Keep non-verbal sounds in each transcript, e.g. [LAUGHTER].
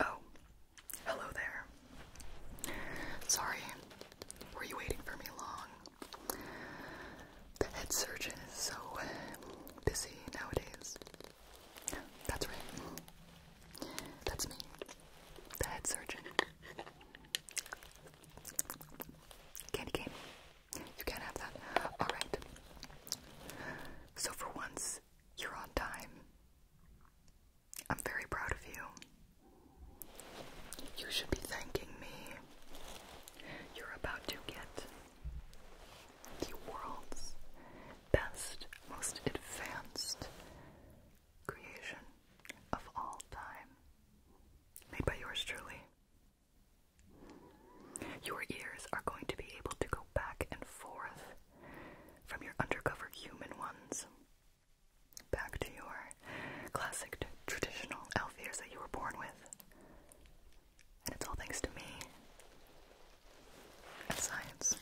Oh, hello there. Sorry, were you waiting for me long? The head surgeon is so busy nowadays. That's right. That's me, the head surgeon. Candy cane. You can't have that. Alright. So for once, you're on time. I'm very proud of you. You should be thanking me. You're about to get the world's best, most advanced creation of all time. Made by yours truly. Your ears are going to be able to go back and forth from your undercover human ones back to your classic traditional elf ears that you were born with. And it's all thanks to me and science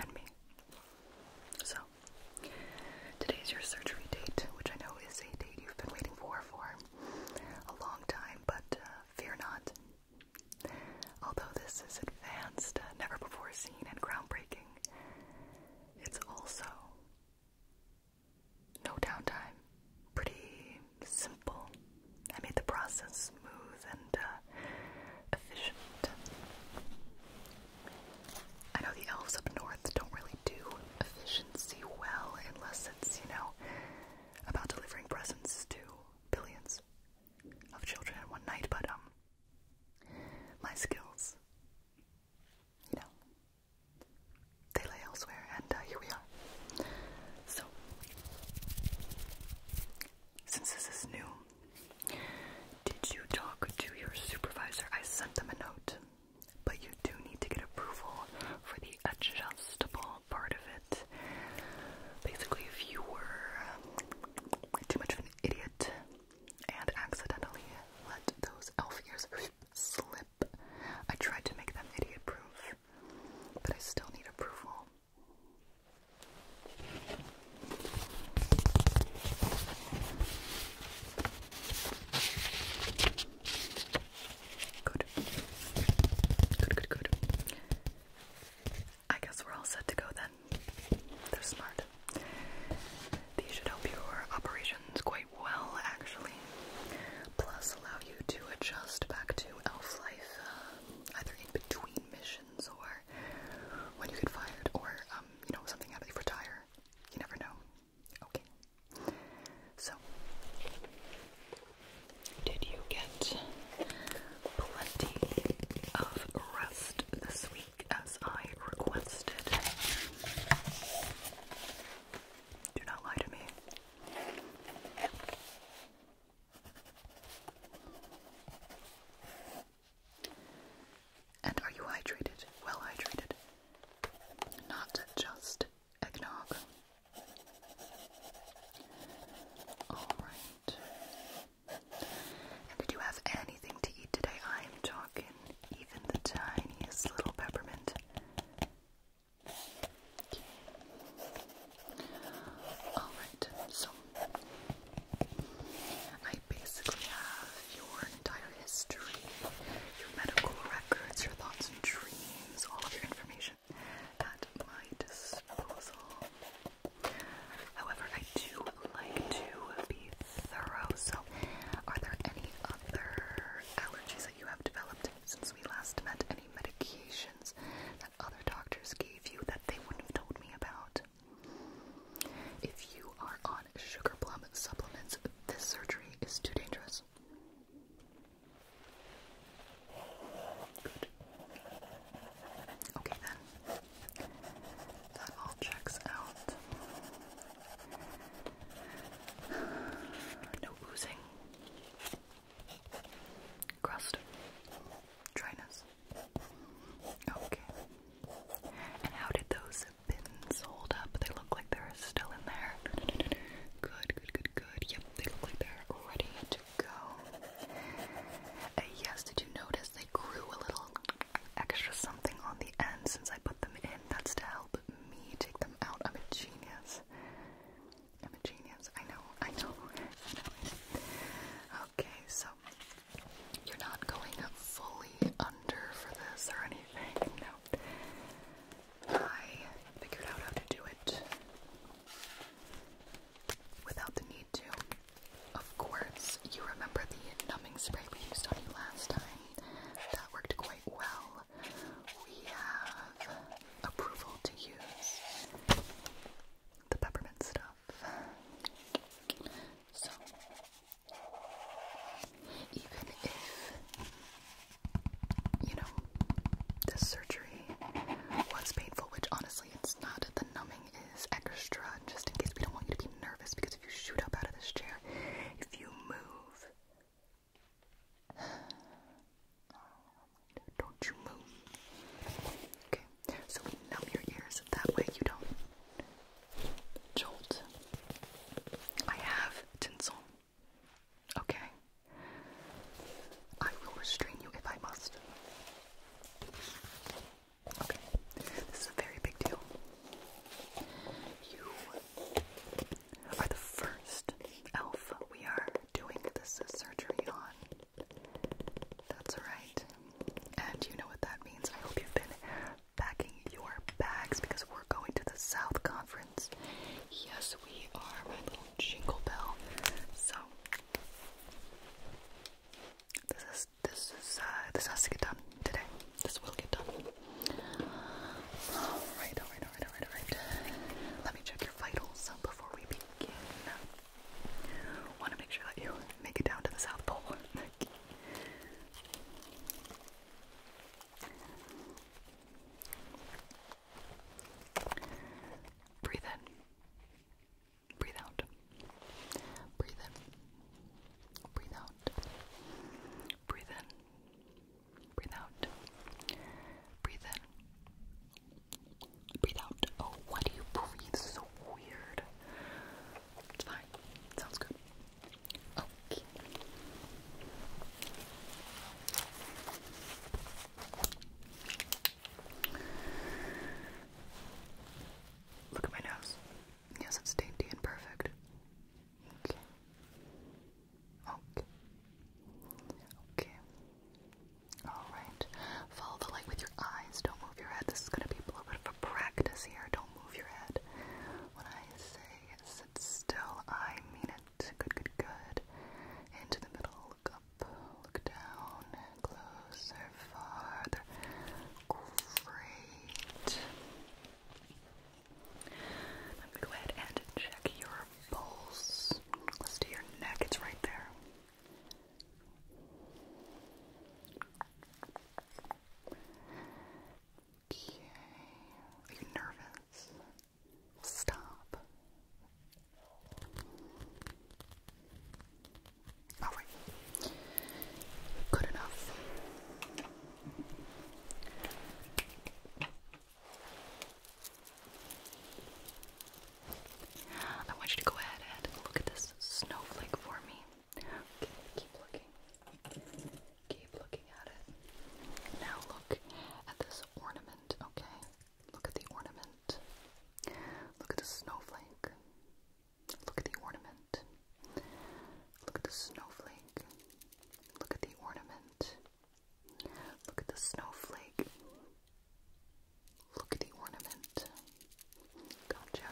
and me. So, today's your surgery date, which I know is a date you've been waiting for for a long time, but uh, fear not. Although this is advanced, uh, never before seen, and groundbreaking, it's also no downtime. Pretty simple. I made the process smooth and uh, efficient. I know the elves up north don't really do fish See well unless it's, you know, about delivering presents to billions of children in one night, but um my skills, you know, they lay elsewhere and uh, here we are. So since this is new, did you talk to your supervisor? I sent them a note but you do need to get approval for the adjustable part of it. Basically, if you were um, too much of an idiot and accidentally let those elf ears slip, I tried to make them idiot proof, but I still need approval. Good. Good, good, good. I guess we're all set to go then. They're smart. These should help your operations quite well, actually. Plus, allow you to adjust back to elf life, uh, either in between missions or when you get fired, or um, you know, something out you retire. You never know. Okay. So, did you get plenty of rest this week as I requested? Do not lie to me. And are you hydrated? Well hydrated? Not just eggnog. Alright. Did you have anything to eat today? I'm talking even the tiniest little peppermint. Alright, so I basically have your entire history, your medical records, your thoughts and dreams, all of your information at my disposal. However, I do like to be thorough, so are there any other allergies that you have developed since we last met? Any medications that other doctors gave you that they wouldn't have told me about? If you are on sugar plum supplements, this surgery is too dangerous. Good. Okay then. That all checks out. [SIGHS] No oozing. Crust. Dryness. Okay. And how did those buttons hold up. They look like they're still in there. Good, good, good, good. Yep, they look like they're ready to go. Uh, yes, did you notice they grew a little extra something on the end since I put them in? That's to help me take them out. I'm a genius. I'm a genius. I know, I know. I know. Okay, so you're not going fully under for this or anything. No. I figured out how to do it without the need to. Of course, you remember the numbing spray we used on you last time. That worked quite well. We have approval to use the peppermint stuff. So, even if you know this surgery was painful, which honestly it's not. The numbing is extra, just in case we don't want you to be nervous. Because if you shoot up out of this chair, if you move, [SIGHS] don't you move? Okay, so we numb your ears that way you don't jolt. I have tinsel. Okay. I will restrain you if I must. Okay. This is a very big deal. You are the first elf we are doing this surgery on. That's all right, And you know what that means. I hope you've been packing your bags because we're we're going to the South Conference. Yes, we are, my jingle bell. So this is this is uh, this has to get done today. This will get done. Alright, alright, alright, alright, alright. Let me check your vitals before we begin. Wanna make sure that you make it down to the South Pole. [LAUGHS] Breathe in. Breathe out. Breathe in. Breathe out. Breathe in. Breathe out. Breathe in. Breathe out. Oh, why do you breathe so weird? It's fine. Sounds good. Oh, Look at my nose. Yes, it's dainty and perfect. Okay. Okay. Okay. Alright. Follow the light with your eyes. Don't move your head. This is going to be a little bit of a practice here. Don't move your head. When I say sit still, I mean it. Good, good, good. Into the middle, look up, look down, closer, farther. Great. I'm gonna go ahead and check your pulse. Let's do your neck, it's right there. Okay. Are you nervous? Stop. Oh, Alright. Good enough. I want you to go ahead and look at this snowflake for me. Okay, keep looking. Keep looking at it. Now look at this ornament, okay? Look at the ornament. Look at the snowflake. Look at the ornament. Look at the snowflake. Look at the ornament. Look at the snowflake. Look at the ornament. Gotcha.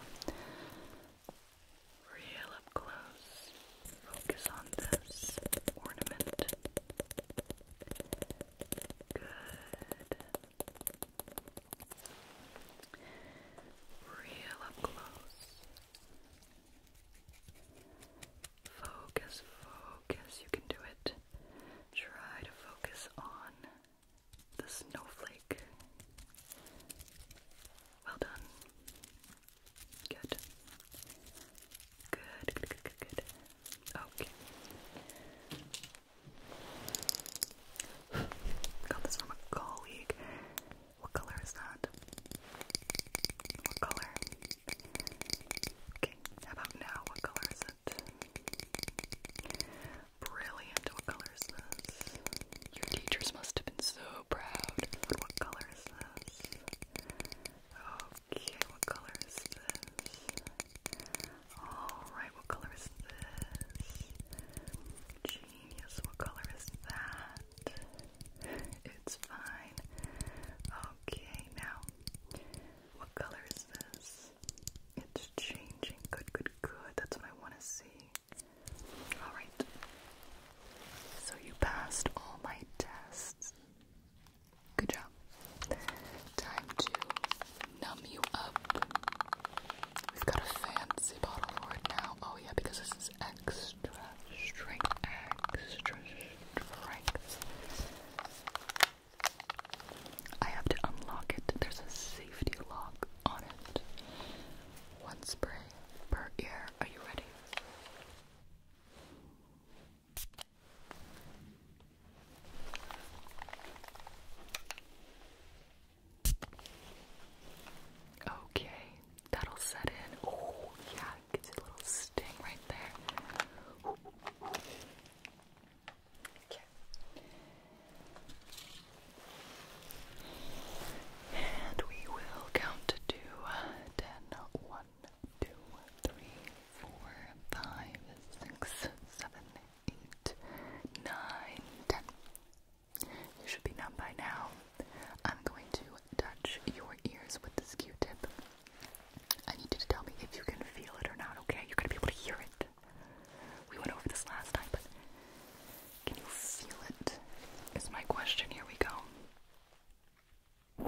Real up close. Focus on this ornament. Good. Real close. Focus, focus. You can do it. Try to focus on the snowflake. Well done. Good. Good, good, good, good, good. Okay. Got this from a colleague. What color is that? What color? Okay, about now? What color is it? Brilliant. What color is this? Your teachers must have been so proud. What color is this? Okay, what color is this? Alright, what color is this? Genius, what color is that? It's fine. Okay, now, what color is this? It's changing. Good, good, good. That's what I want to see. Alright. So you passed all my tests. Good job. Time to numb you up. We've got a fancy bottle for it now. Oh yeah, because this is extra strength, extra strength. I have to unlock it. There's a safety lock on it. One spray per ear. Are you ready? Okay, that'll set in. Oh, yeah, gets a little sting right there. Okay. And we will count to two, uh, two, three, four, five, six, seven, eight, nine, ten. You should be numb by now. I'm going to touch your ears with this Q-tip. I need you to tell me if you can feel it or not, okay? You're gonna be able to hear it. We went over this last time, but can you feel it? Is my question. Here we go. Good,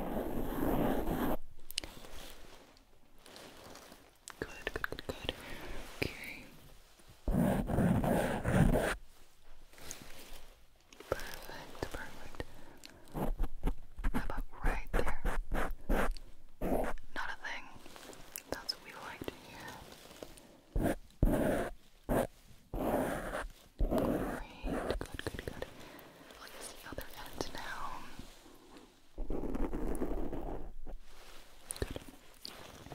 good, good, Okay. Perfect, perfect. about right there? Not a thing. That's what we like to hear. Great, good, good, good. Look at the other end now. Good.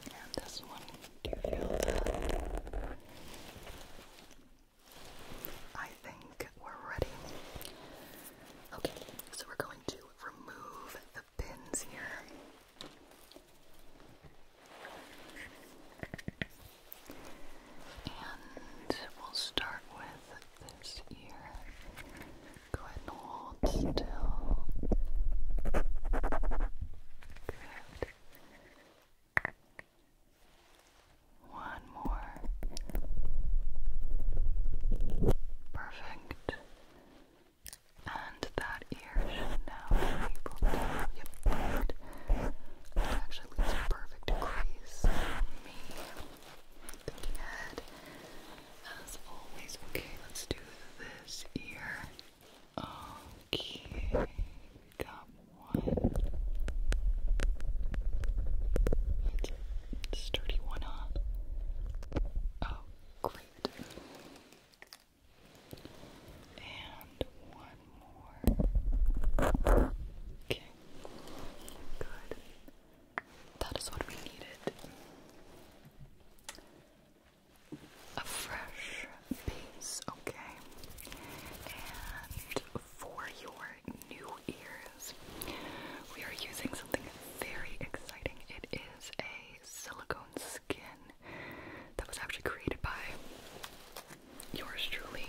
And this one, do you feel that? I think we're ready. Okay, so we're going to remove the pins here. And we'll start with this ear. Go ahead and hold still. Good. One more. Perfect. And that ear should now be able to. Yep. That actually leaves a perfect crease me. Thinking ahead. As always, okay, let's do this ear. Okay, we got one. That's a sturdy one, huh? Oh, great. And one. Okay. Good. That is what we needed. A fresh piece, okay? And for your new ears, we are using something very exciting. It is a silicone skin that was actually created by yours truly,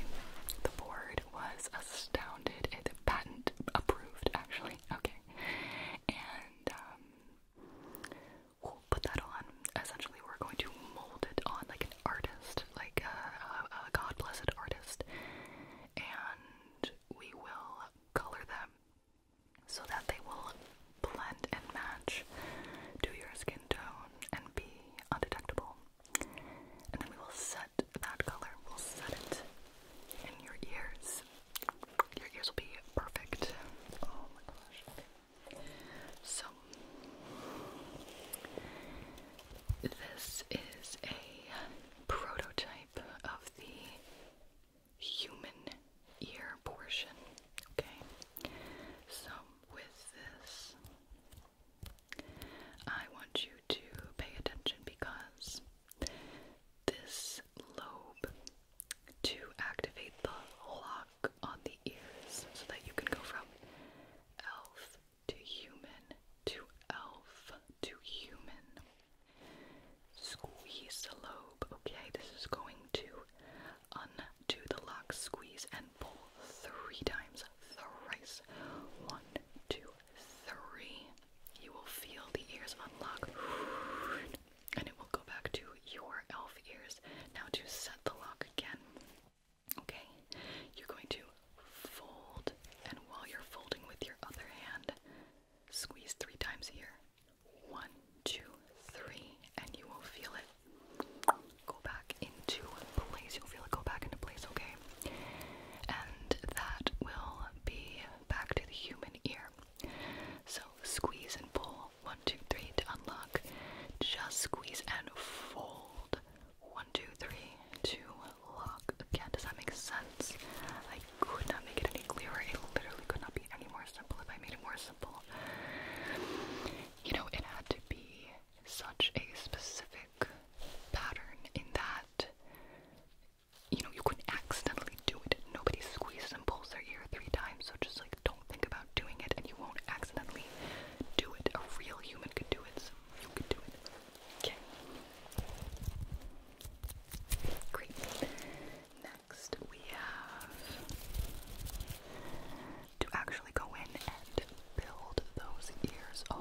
the board was astounded. It, the patent approved, actually. Okay. And um, we'll put that on. Essentially, we're going to mold it on like an artist, like a, a, a God blessed artist. And we will color them so that they will blend and match to your skin tone and be undetectable. And then we will set that color, we'll set it in your ears. Your ears will be perfect. Oh my gosh. So, this is a prototype of the human ear portion. Okay. So, with this, I want you to pay attention because this lobe to activate the lock on the ears so that you can go from elf to human to elf to human. Squeeze the lobe, okay? This is going to undo the lock, squeeze, and and three times, thrice. One, two, three. You will feel the ears unlock and it will go back to your elf ears. Now, to set the lock again, okay, you're going to fold, and while you're folding with your other hand, squeeze three times here. One, two, three, and you will feel it go back into place. You'll feel it go back into place, okay? And that will be back to the human ear. So squeeze and pull. One, two, three to unlock. Just squeeze and fold. One, two, three to lock. Again, does that make sense? I could not make it any clearer. It literally could not be any more simple if I made it more simple. You know, it had to be such a specific pattern in that you know you couldn't accidentally do it. Nobody squeezes and pulls their ear three times, so just like don't think about doing it and you won't accidentally do it. A real human could do it, so you could do it. Okay. Great. Next we have to actually go in and build those ears. Oh,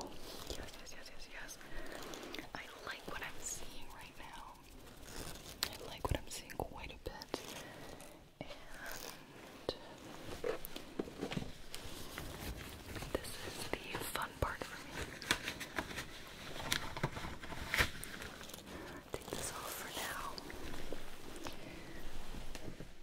yes, yes, yes, yes, yes. I like what I'm seeing right now. I like what I'm seeing quite a bit. And this is the fun part for me. Take this off for now.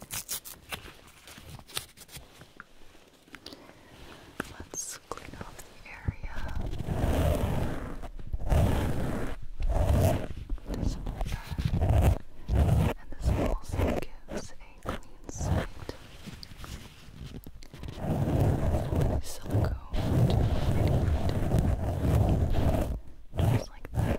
Let's clean off the area. This like and this also gives a clean sight. Silicone, just like that.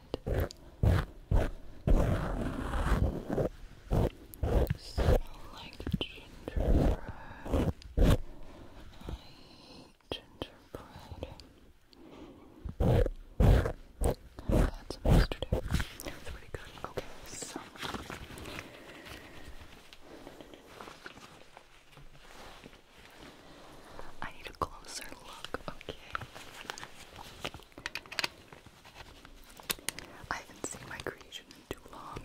Smell like gingerbread. I hate gingerbread. I yesterday. It's pretty good. Okay, so. I need a closer look, okay? I haven't seen my creation in too long.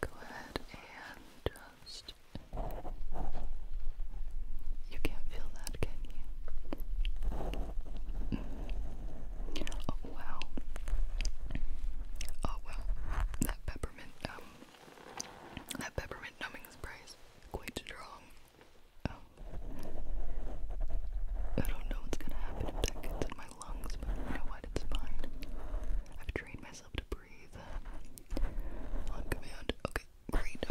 Go ahead and just. You can't feel that, can you? Mm. Oh wow. Oh well. That peppermint um that peppermint numbing spray is quite strong. I don't know what's gonna happen if that gets in my lungs, but you know what? It's fine. I've trained myself to breathe on command. Okay, great.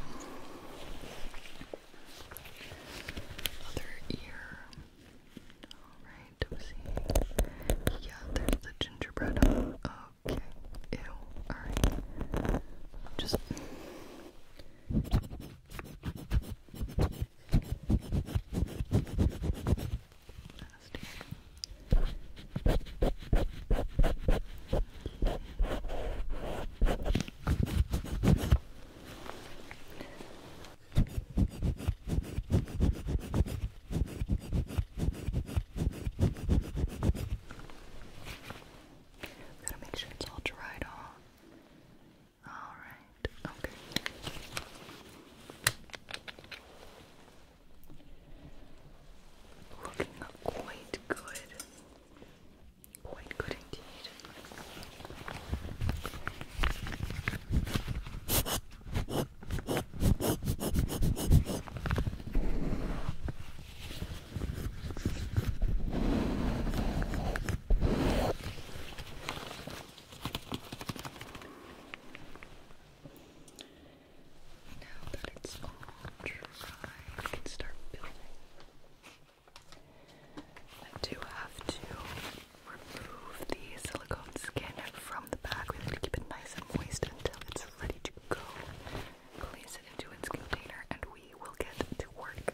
Other ear. Alright, see. Yeah, there's the gingerbread. Okay. Ew. Alright. Just. Gotta make sure it's all dried off. All right. Okay. Looking quite good. Quite good indeed. Now that it's all dry, we can start building. I do have to remove the silicone skin from the bag. We have to keep it nice and moist until it's ready to go place it into its container, and we will get to work.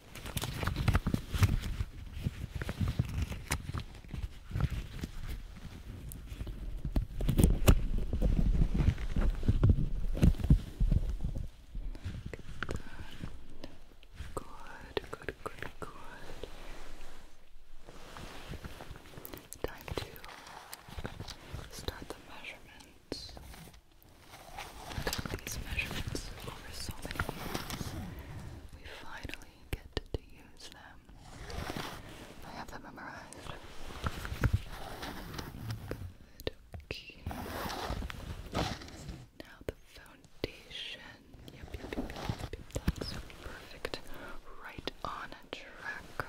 Good, good, good, good. Time to start the measurements. these measurements over so many years. We finally get to use them. I have them memorized. Good, Now the foundation. yep, yep, yep, yep. That's perfect. Right on a track.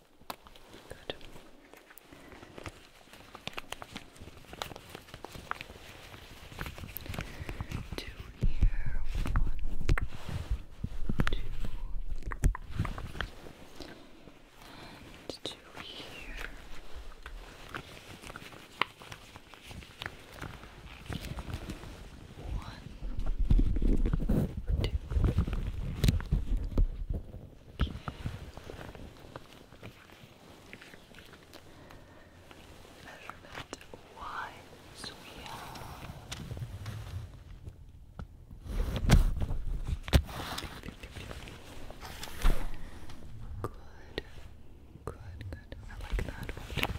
Good. Two here. One, two, and two here. One, one, two. Measurement Y, so we have good, good, good. I like that one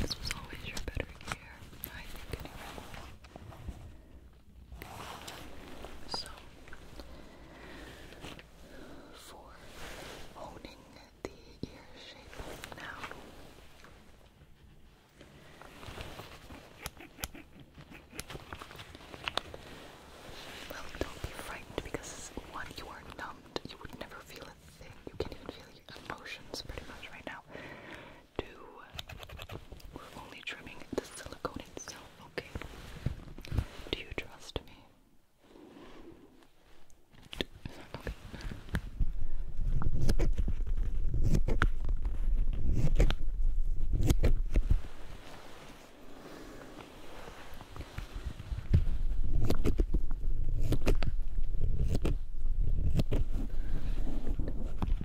This was always your better year, I so, for honing the ear shape now. Well, don't be frightened because one, you are numbed, you would never feel a thing, you can't even feel your emotions pretty much right now do. We're only trimming the silicone itself, okay? Do you trust me?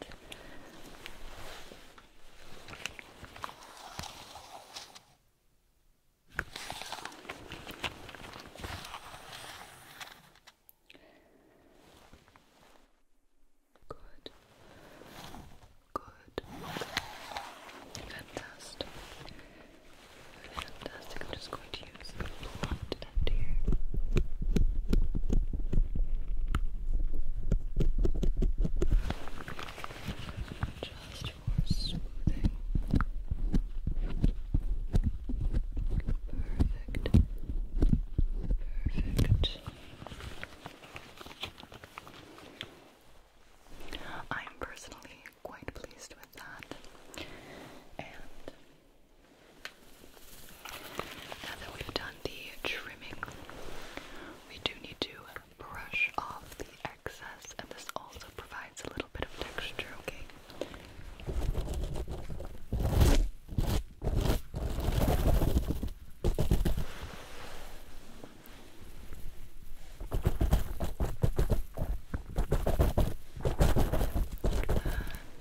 Good. Good. Fantastic. Fantastic. I'm just going to use just for smoothing. Perfect. Perfect. I'm personally quite pleased with that. And now that we've done the trimming, we do need to brush off the excess, and this also provides a little bit of texture,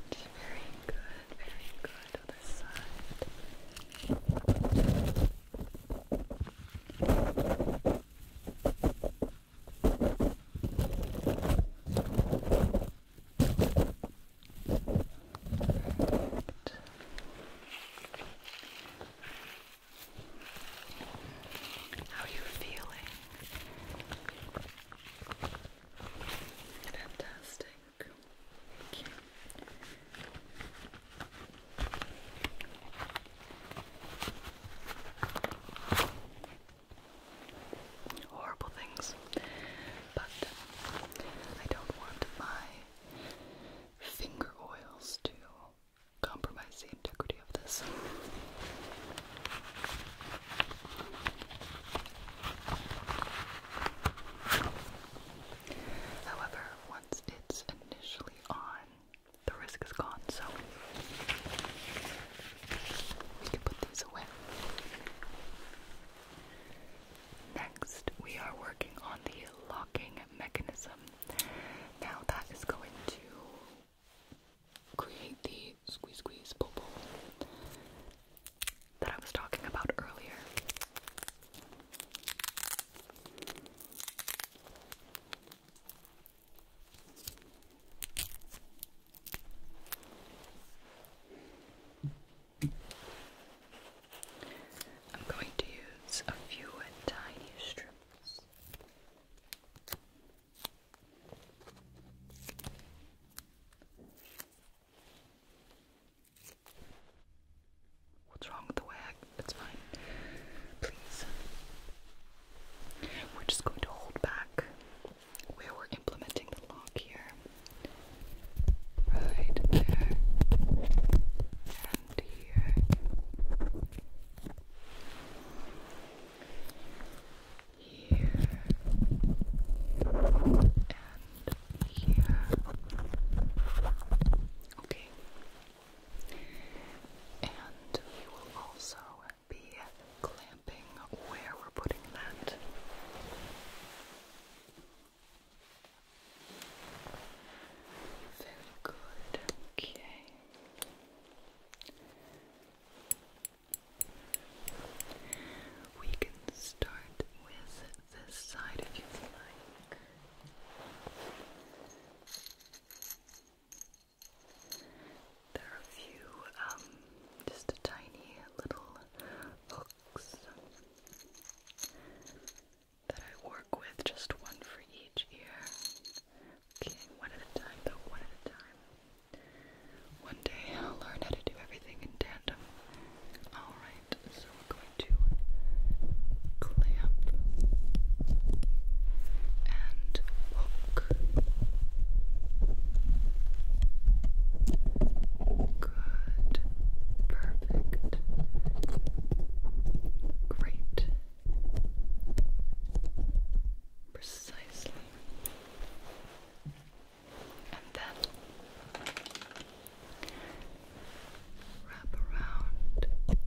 Very good, very good right on side. How are you feeling? Fantastic work. Okay. Horrible things, but I don't want my finger oils to compromise the integrity of this. However, once it's initially on, the risk is gone, so we can put these away. Next, we are working on the locking mechanism. Now, that is going to create the squeeze, squeeze, bubble that I was talking about earlier. I'm going to use a few tiny strips. What's wrong with the wag? It's fine. Please. We're just going to hold back where we're implementing the lock here. Right there. And here. Here. And here. Okay. And we will also be clamping where we're putting that. Very good. Okay. We can start with this side of you'd There are a few, um, just tiny little hooks that I work with, just one for each ear. Okay, one at a time, though, one at a time. One day I'll learn how to do everything in tandem. Alright, so we're going to clamp and hook. Good. Perfect. Great. Precisely and then wrap around and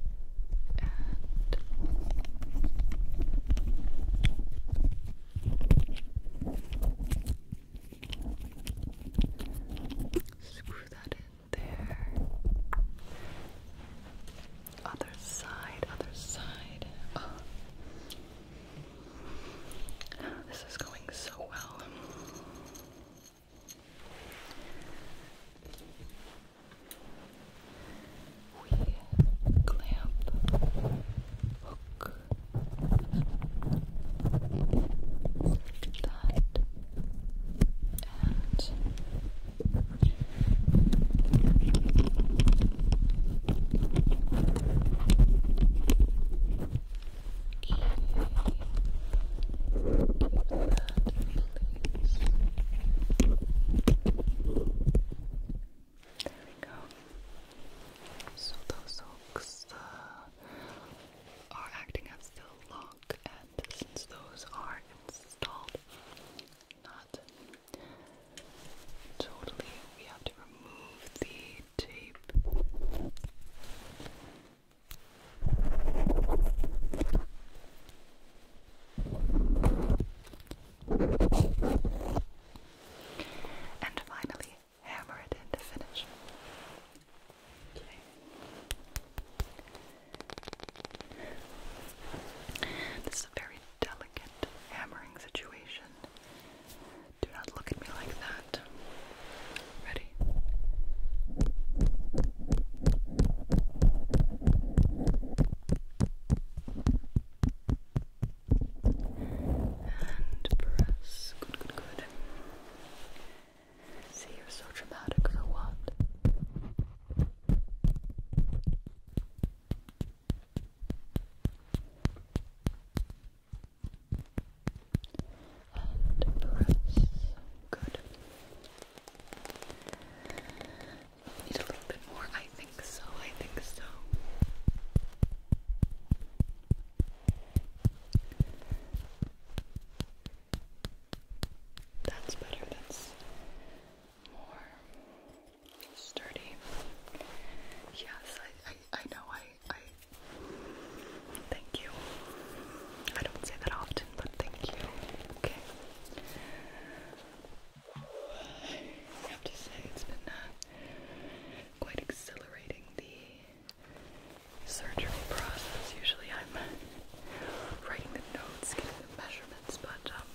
screw that in there. Other side, other side. This is going so well. We clamp, hook, that, and in There So those hooks are acting as the lock, and since those are installed, not totally, we have to remove the tape. And finally, hammer it in finish. This is a very delicate hammering situation. Do not look at me like that. Ready? And press. Good, good, good. See, you're so dramatic for what? press. Good. Need a little bit more. I think so. I think so. That's better. That's more sturdy. Yes, I, I, I know I I, thank you. I don't say that often, but thank you. Okay. have to say it's been uh, quite exhilarating the surgery process. Usually I'm writing the notes, getting the measurements, but um,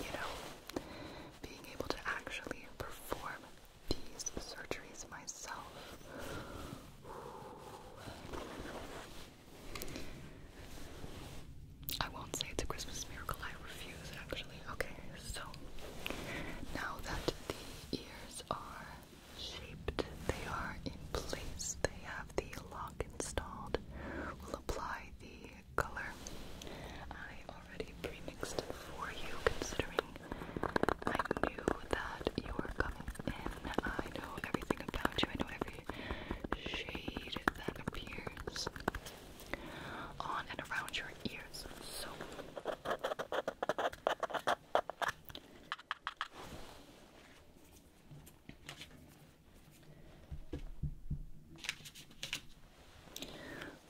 you know, being able to actually perform these surgeries myself. I won't say it's a Christmas miracle, I refuse actually. Okay, so now that the ears are shaped, they are in place, they have the lock installed, we'll apply the color. I already pre for you, considering I knew that you were coming in. I know everything about you. I know every shade that appears on and around your ears. So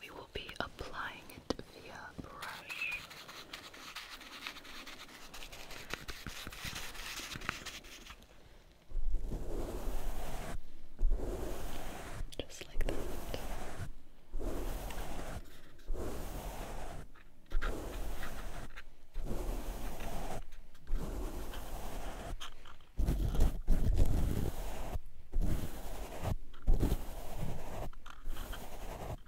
we will be applying it via brush. Just like that. Now,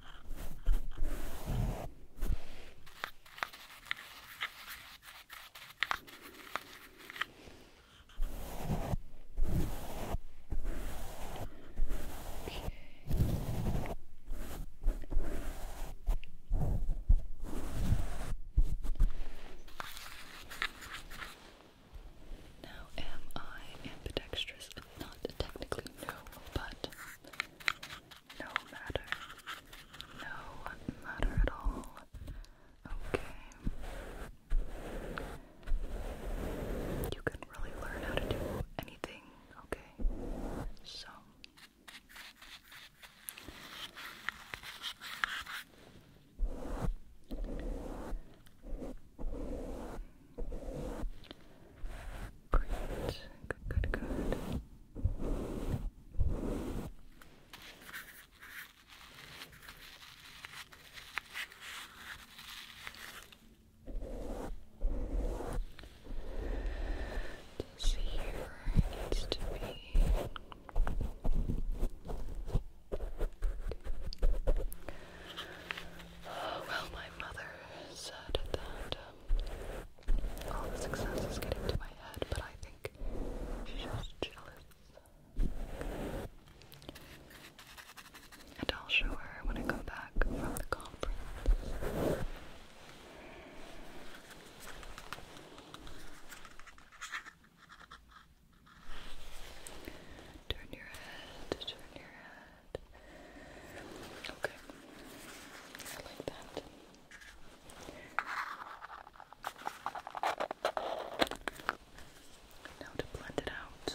am I ambidextrous not technically new, but no matter. No matter at all. Okay. You can really learn how to do anything, okay? So. Great. Good, good, good. This here needs to be well, my mother said that um, all the success is getting to my head, but I think she's just jealous. And I'll show her when I come back from the conference. Turn your head, turn your head that. Okay. I like that. Now to blend it out.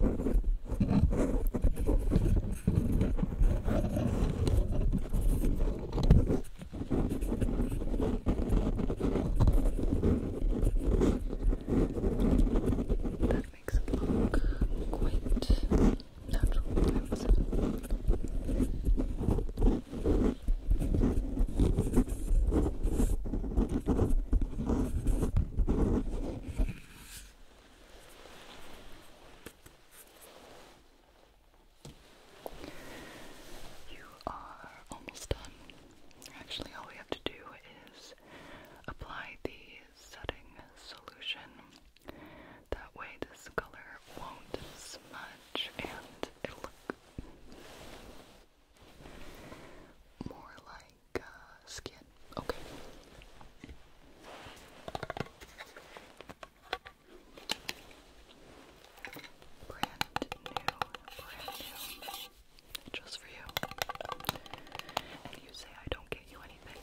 That makes it look quite natural, I would say. You are almost done. Actually, all we have to do is apply the setting solution. That way, this color won't smudge and it'll look more like uh, skin. Okay. Brand new, brand new, just for you. And you say I don't get you anything.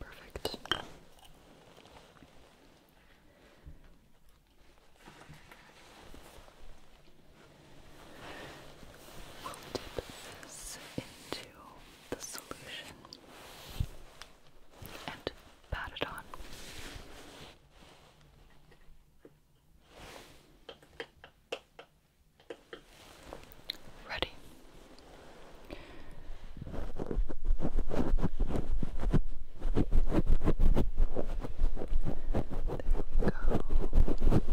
Perfect. We'll dip this into the solution and pat it on. Ready. There we go. Thick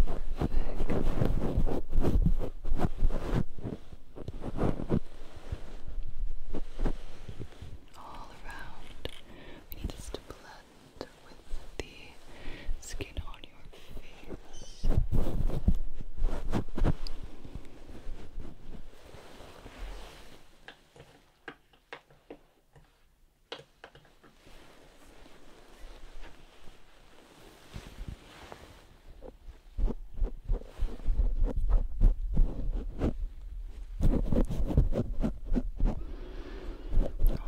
all around. We need this to blend with the skin on your face. All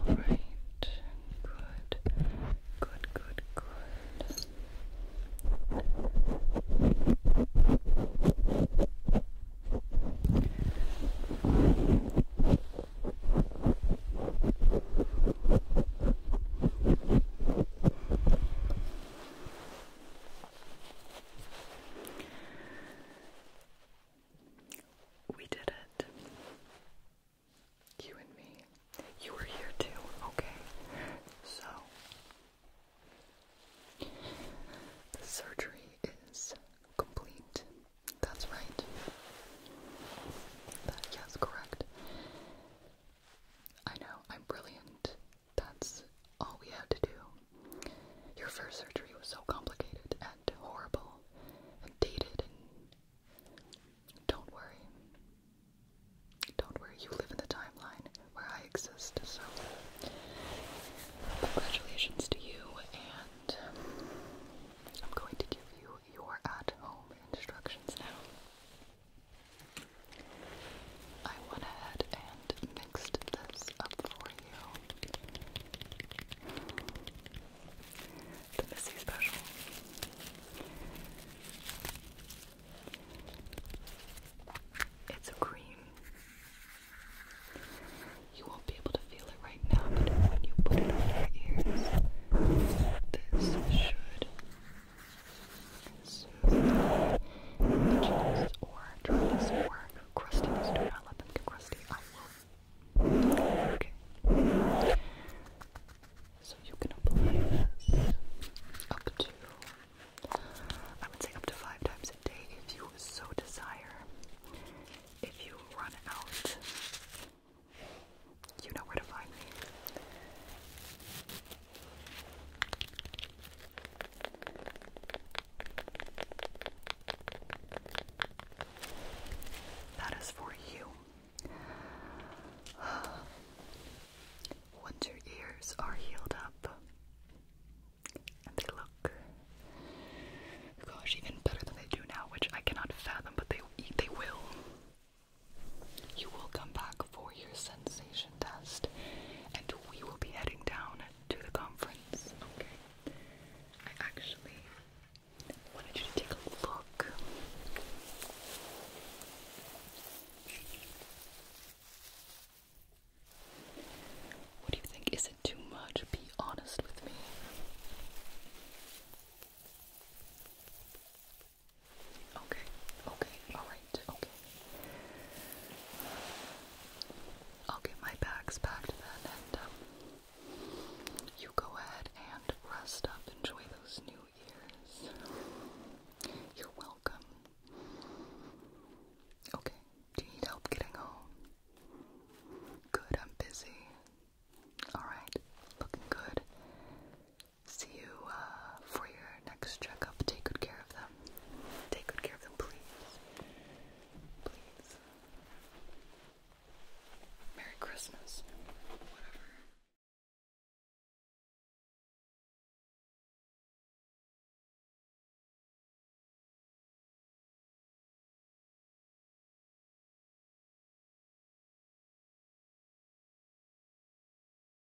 right. Good. Good, good, good. All we did it. You and me. You were here too, okay? So, the surgery is complete. That's right. That, yes, correct. I know, I'm brilliant. That's all we had to do. Your first surgery was so complicated and horrible and dated and don't worry. Don't worry, you live in the timeline where I exist, so congratulations to you and I'm going to give you your at-home instructions now. I went ahead and mixed this up for you. The Missy Special. It's a cream. You won't be able to feel it right now, but when you put it on your ears, this should itchiness or dryness or crustiness. Do not let them get crusty. I will. Okay. So you can apply this up to, I would say up to five times a day if you so desire. If you run out, you know where to find me. That is for you. Once your ears are healed up and they look gosh even better than they do now, which I cannot fathom, but they they will. You will come back for your sensation test, and we will be heading down to the conference. Okay. I actually wanted you to take a look. What do you think? Is it too much? Be honest with me. Okay, okay, alright, okay. I'll get my bags packed then, and um, you go ahead and rest up. Enjoy those new ears. You're welcome. Okay, do you need help getting home? Good, I'm busy. Alright, looking good see you uh, for your next checkup. Take good care of them. Take good care of them, please. Please. Merry Christmas. Whatever.